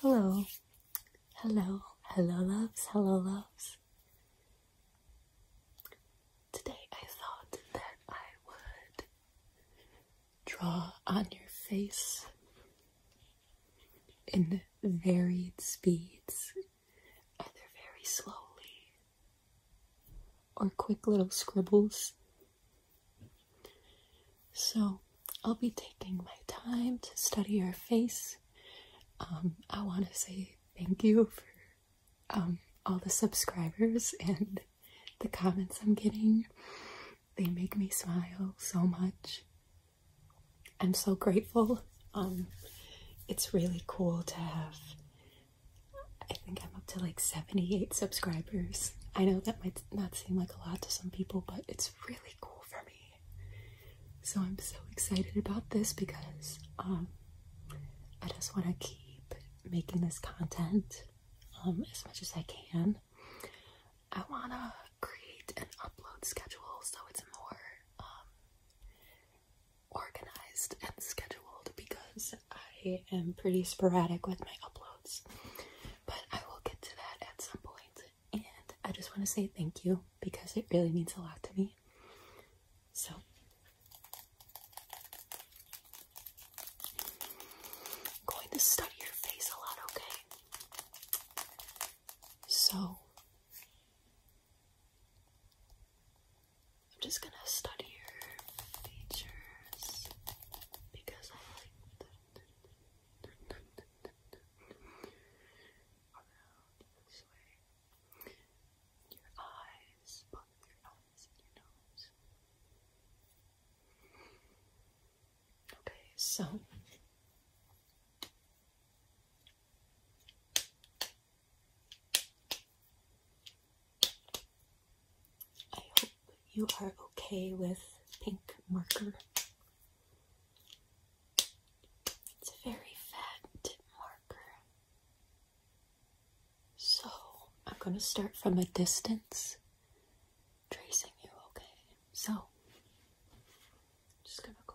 Hello, hello, hello, loves, hello, loves. Today I thought that I would draw on your face in varied speeds, either very slowly or quick little scribbles so, I'll be taking my time to study your face. Um, I want to say thank you for um, all the subscribers and the comments I'm getting. They make me smile so much. I'm so grateful. Um, it's really cool to have I think I'm up to like 78 subscribers. I know that might not seem like a lot to some people, but it's really cool for me. So I'm so excited about this because um, I just want to keep making this content um, as much as I can. I want to create an upload schedule so it's more um, organized and scheduled because I am pretty sporadic with my uploads, but I will get to that at some point. And I just want to say thank you because it really means a lot to me. So, going to study your face a lot, okay? So, I'm just gonna study your features because I like around this way. Your eyes, your eyes and your nose. Okay, so I hope you are okay with pink marker. It's a very fat marker. So I'm going to start from a distance tracing you, okay? So just going to go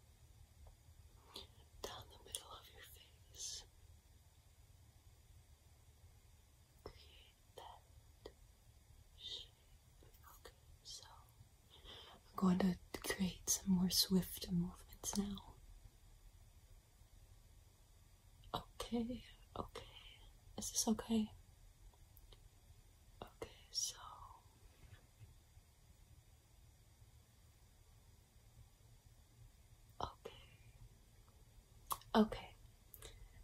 down the middle of your face. Create that shape. Okay, so I'm going to create some more swift movements now. Okay, okay. Is this okay? Okay, so Okay. Okay.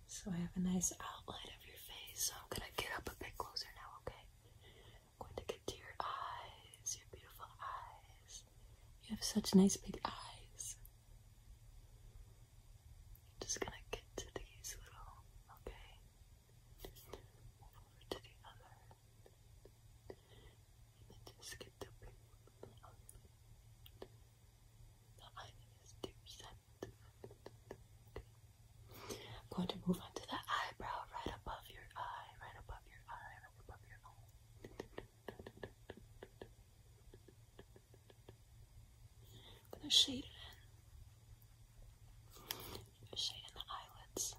So I have a nice outline of your face. So I'm gonna get up a bit closer now, okay? I'm going to get to your eyes, your beautiful eyes. You have such nice big eyes. just gonna get to these little, okay? Move over to the other just get the ring the oven. is two cents. I'm going to move on to the eyebrow right above your eye, right above your eye, right above your eye. I'm gonna shade it in. Shading the eyelids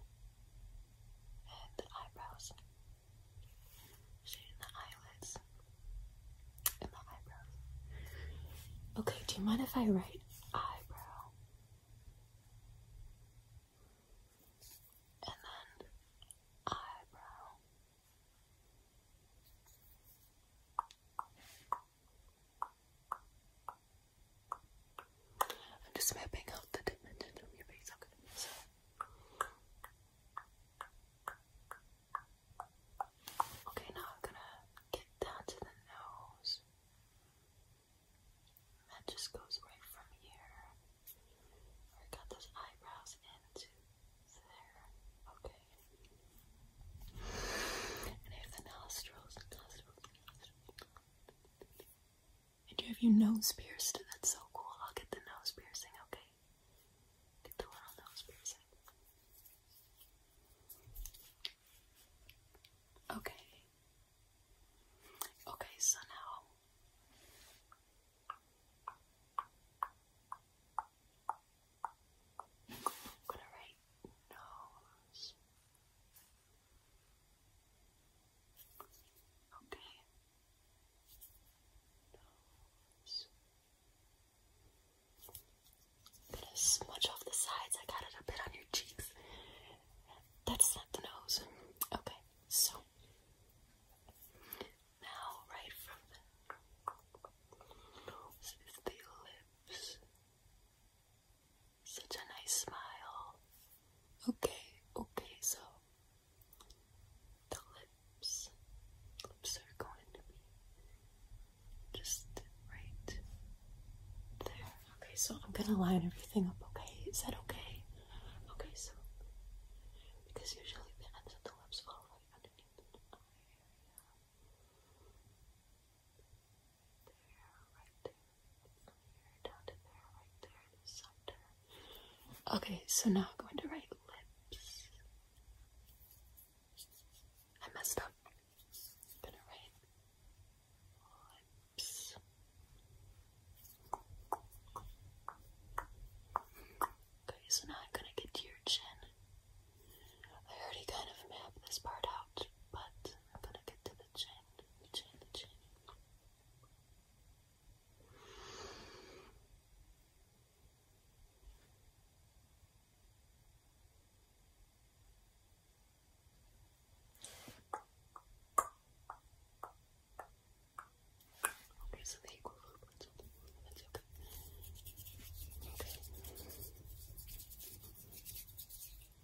and the eyebrows. Shade the eyelids and the eyebrows. Okay, do you mind if I write eyebrow? And then eyebrow. I'm just mapping out the dimension from your face. Okay, now I'm gonna get down to the nose. that just goes right from here. I got those eyebrows into there. Okay. And I the nostrils. And you have your nose pierced. That's so cool. I'll get the nose piercing, okay? Get the little nose piercing. Okay. Okay, so now. I'm gonna write nose Okay. Nose. Bit of smudge off the sides. I got it a bit on your cheeks. That's not the nose. Okay, so now right from the nose is the lips. Such a nice smile. Okay, okay, so the lips, lips are going to be just right there. Okay, so I'm gonna line everything up. Okay, is that okay? Okay, so because usually the ends of the lips fall right underneath the eye Okay, so now I'm going to write lips. I messed up. gonna write lips. Okay, so now I'm gonna get to your chin. I already kind of mapped this part out, but I'm gonna get to the chin chin, chin, Okay, so the equal footprints on the that's okay. Okay.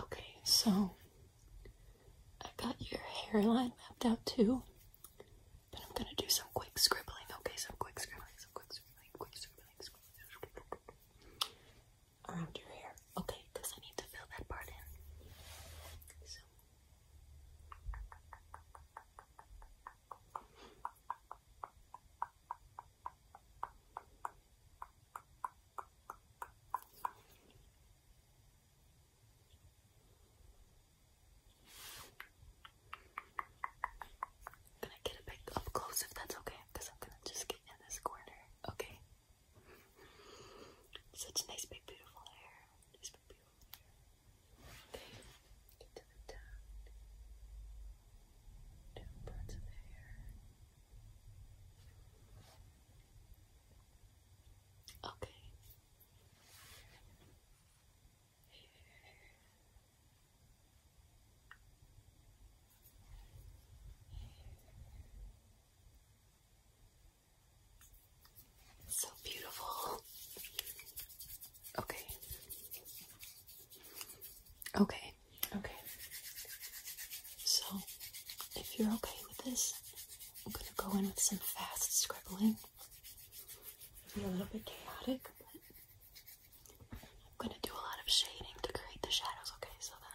Okay, so I got your hairline mapped out too, but I'm gonna do some quick scribbling. Okay, some quick scribbling, some quick scribbling, quick scribbling, around your hair. Okay, because I need to fill that part in. So. Okay, can I get a bit up close if that's okay? Because I'm gonna just get in this corner. Okay. Such nice big beautiful hair. beautiful hair. Okay. Get parts of hair. Okay. So beautiful. Okay. Okay, okay. So, if you're okay with this, I'm gonna go in with some fast scribbling. It'll be a little bit chaotic, but I'm gonna do a lot of shading to create the shadows, okay? So then.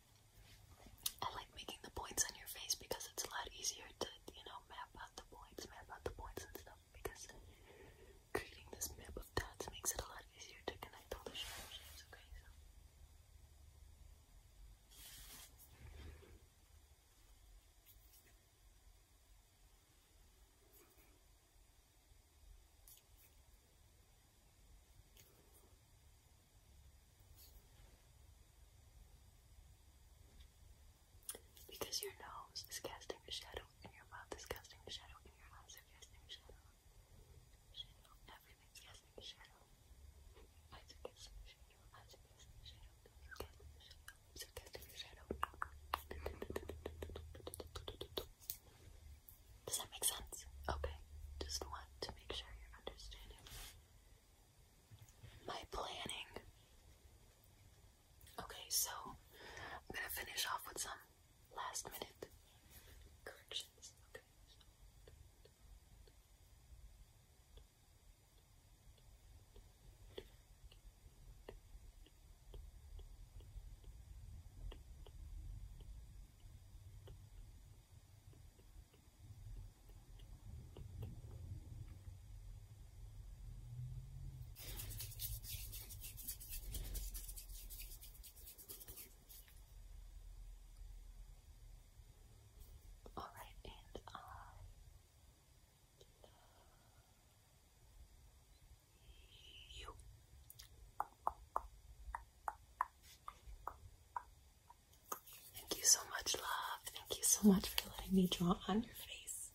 I like making the points on your face because it's a lot easier to, you know, map out the points, map out the points and stuff because creating this map of dots makes it a lot easier to connect all the shapes, okay? So. Because your nose is casting a shadow, and your mouth is casting a shadow, and your eyes are casting a shadow. Shadow, everything's casting a shadow. eyes are casting a shadow, eyes are casting a shadow, nose is casting a shadow. Does that make sense? Okay. Just want to make sure you're understanding my planning. Okay, so I'm gonna finish off with some last minute corrections. Okay. All right, and I uh, love you. Thank you so much, love. Thank you so much for letting me draw on your face.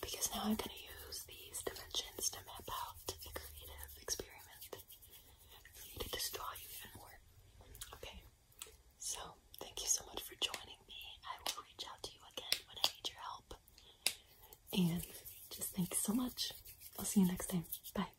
Because now I'm going to use these dimensions to map out the creative experiment I me to just draw you even more. Okay, so thank you so much for joining me. I will reach out to you again when I need your help. And just thank you so much. I'll see you next time. Bye.